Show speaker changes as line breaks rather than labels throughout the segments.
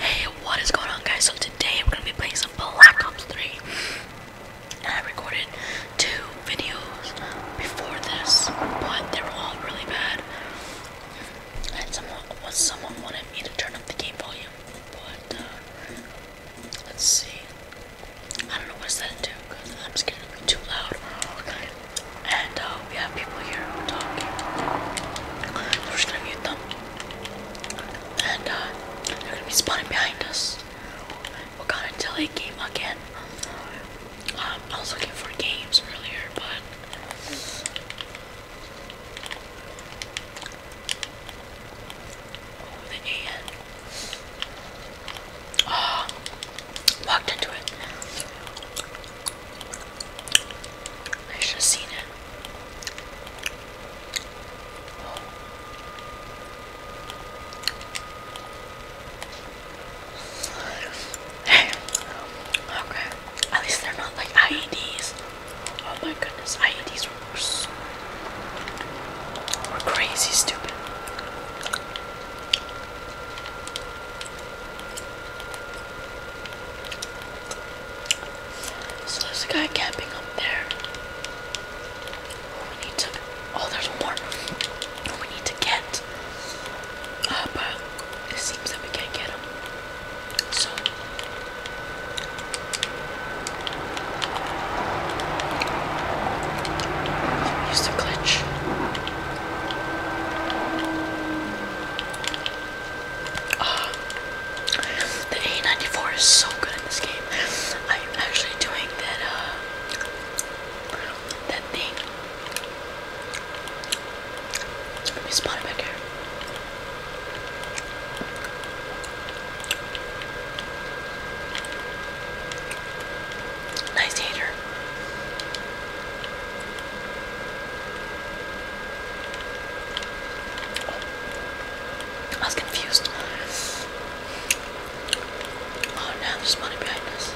Hey, what is going on guys? So today I'm gonna be playing some Black Ops 3. I recorded two videos before this, but they were all really bad. And someone someone wanted me to turn up the game volume. But uh, let's see. I don't know what's that do because I'm scared to be too loud. Okay. Oh, and uh, we have people here who we're just gonna mute them, and uh, they're gonna be spawning behind us. We're gonna do a game again. Um, I was looking for games earlier, but. Oh, the AN. Oh, walked into it. I should have seen it. Oh. Okay. At least they're not like IEDs. Oh my goodness, IEDs were so were crazy stupid. So there's a guy camping up there. We need to. Oh, there's more. We need to get. Uh, it seems that we can't get him. So. Use the glitch. the A94 is so good this game. I'm actually doing that, uh, that thing. Let me spot it back here. Nice hater. I was confused. Oh no, there's behind us.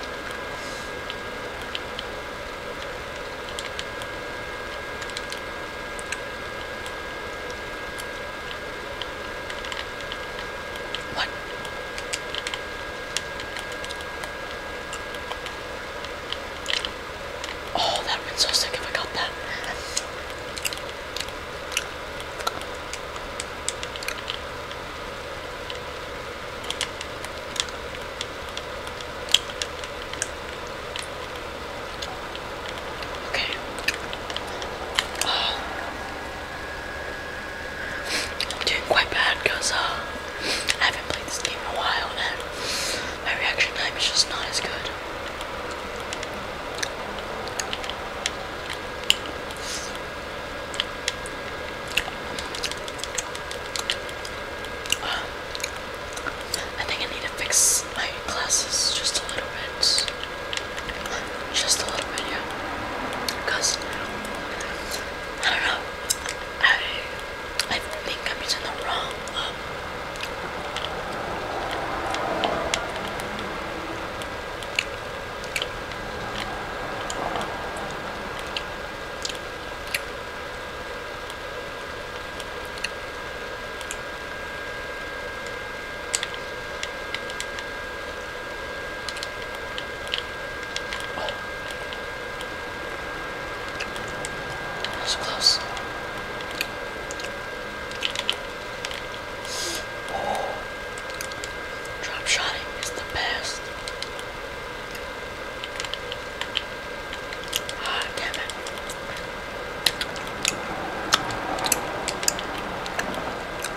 What? Oh, that would so sick if I got that. Okay. Oh. I'm doing quite bad because uh, I haven't played this game in a while and my reaction time is just not as good. Um, I think I need to fix my glasses just a little bit just a little bit, yeah. Because, I don't know, I, I think I'm using the wrong, so close. Oh, drop shotting is the best. Ah, damn it.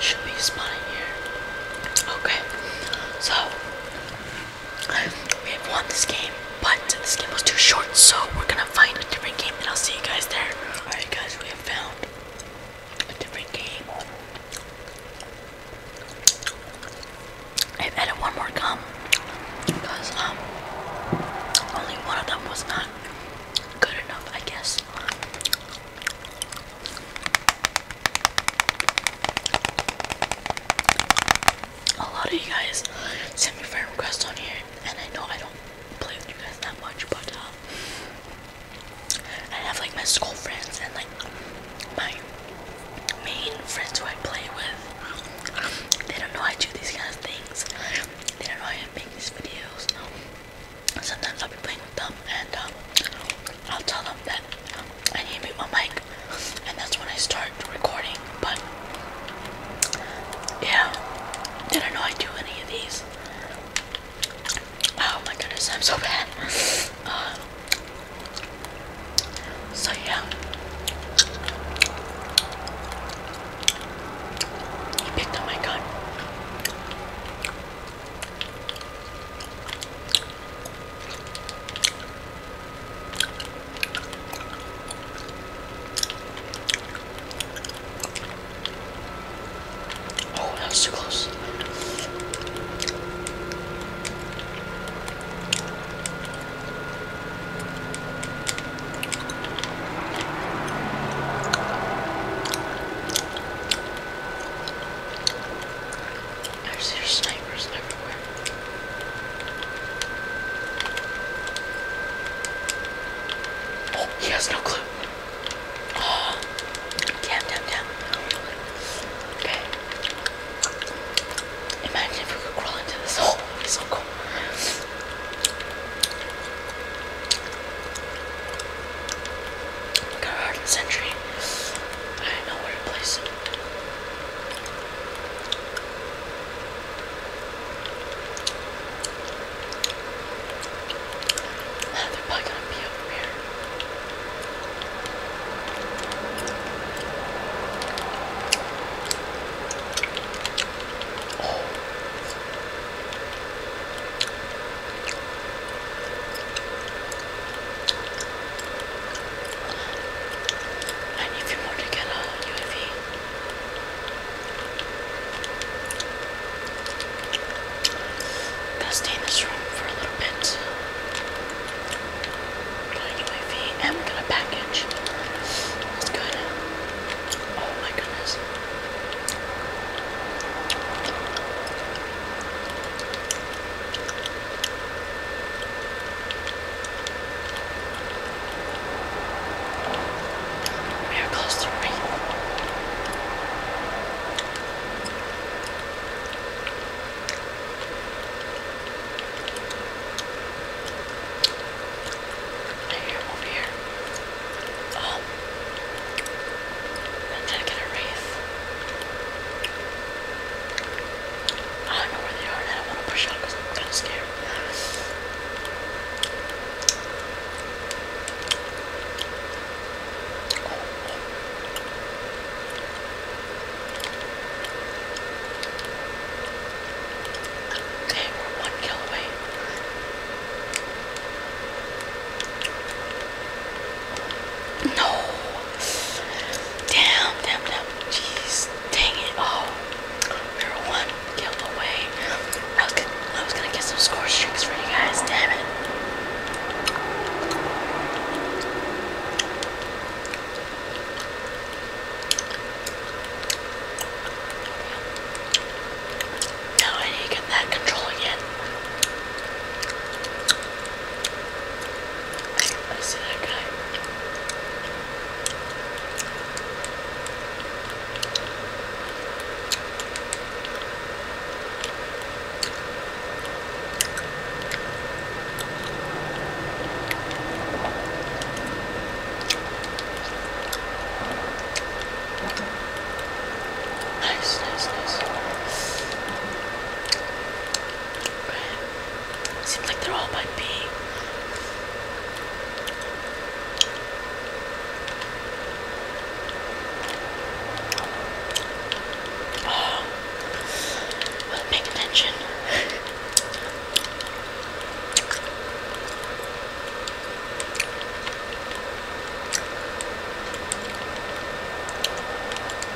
Should be spotting here. Okay, so we have won this game, but this game was too short, so we're gonna find a different game, and I'll see you guys there. Alright, guys, we have found a different game. I've added one more gum because um only one of them was not good enough, I guess. A lot of you guys send me friend requests on here, and I know I don't play with you guys that much, but um, I have like my school friends and like my main friends who I play with, they don't know I do these kind of things. They don't know I make these videos. Sometimes I'll be playing with them and um, I'll tell them that I need to my mic, and that's when I start recording. But yeah, they don't know I do any of these. Oh my goodness, I'm so bad. Uh, so yeah, he picked up my gun. Oh, that was too close. There's your snipers everywhere. Oh, he has no clue. Oh, damn, damn, damn. Okay. Imagine if we could crawl into this hole. That'd be so cool. Look at Harden Sentry. I know where to place it. they're probably gonna be over here. And if you want to get a UAV, I'm gonna stay in this room for a little bit. Got UAV and we got a package. That's good. Oh my goodness. We are close to three. Here, I'm over here. Oh. I'm gonna get a race. I don't know where they are and I don't want to push out because I'm kind of scared. Oh. oh. Dang, we're one kill away. No! Damn, damn, damn. Jeez, dang it. Oh, we were one kill away. I was, gonna, I was gonna get some score streaks for you guys, damn it. Now I need to get that control again. I see that guy. Nice, nice, nice. Right. Seems like they're all by B. Oh wasn't paying attention.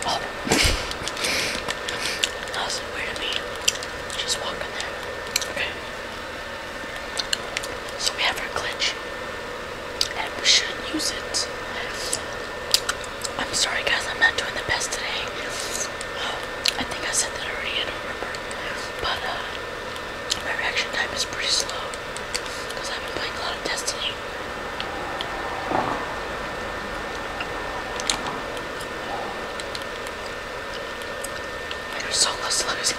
oh. that was weird of me. Just walking there. Okay. So we have our glitch. And we should use it. I'm sorry guys, I'm not doing the best today. I think I said that already, I don't remember. But uh, my reaction time is pretty slow because I've been playing a lot of Destiny. You're so close to losing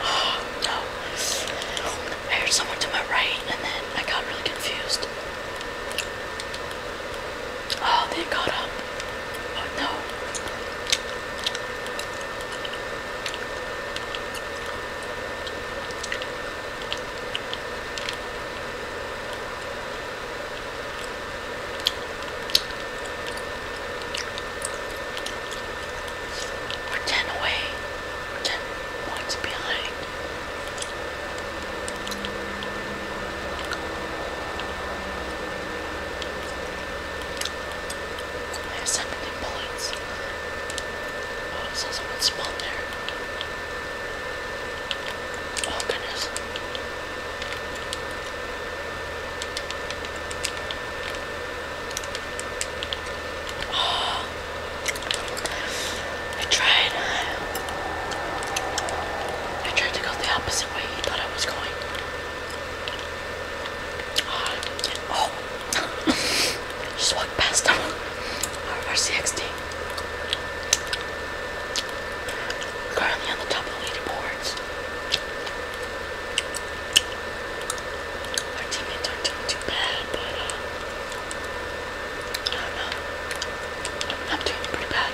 Oh, no. I heard someone to my right and then I got really confused. Oh, they got up. Oh, no. We're 10 away. 10 points behind. I have 17 bullets. Oh, I someone spawn there. Oh, goodness. I tried. I tried to go the opposite way he thought I was going. Ah, oh, just walked past him. RCXD. Currently on the top of our teammates aren't doing too bad, but uh, I am doing pretty bad.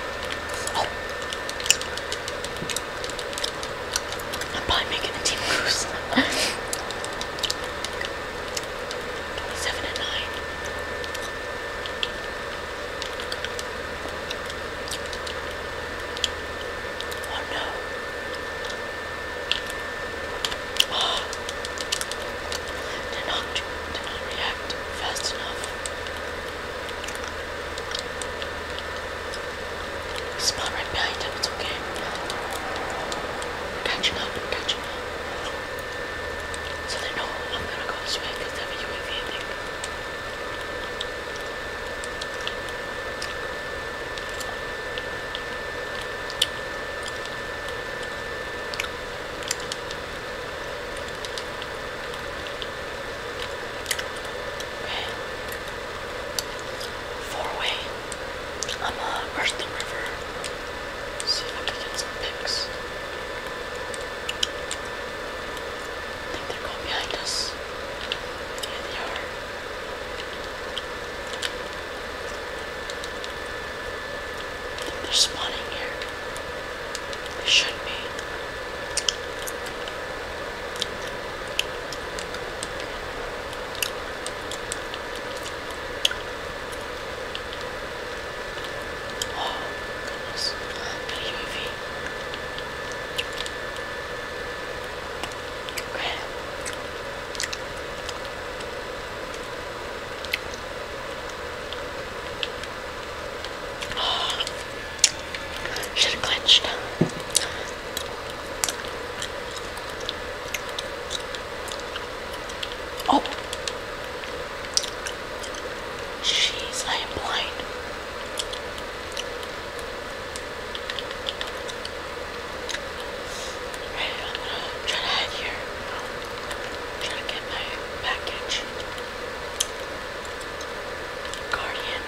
Oh. I'm probably making the team lose. 27 and 9. Oh no. Did not, did not react fast enough. Spot right behind him, it's okay. I'm up, I'm up. So they know I'm gonna go this because they have a UAV, Okay. Four way. I'm uh where's the river? Let's see if I can get some pics. I think they're going behind us. Yeah, they are. I think they're spawning here. They should be. Oh, goodness. Got a Should have clenched. Oh. Jeez, I am blind. I'm gonna hide here. Try to get my package. Guardian.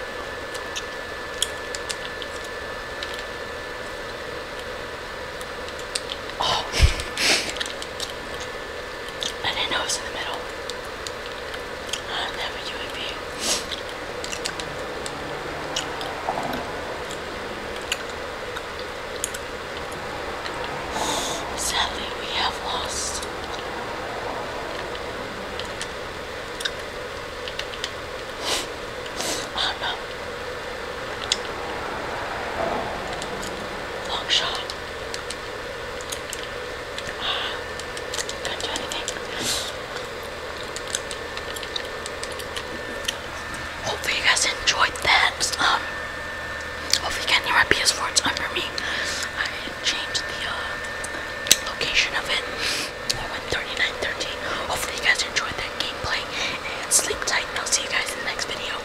Oh, I didn't know it was in the middle. never knew Sadly, we have lost. I oh, do Long shot. Hopefully you guys enjoyed that. Um, hopefully you can hear my PS4. It's under me. I changed the uh, location of it. I went 3913. Hopefully you guys enjoyed that gameplay. And sleep tight. I'll see you guys in the next video.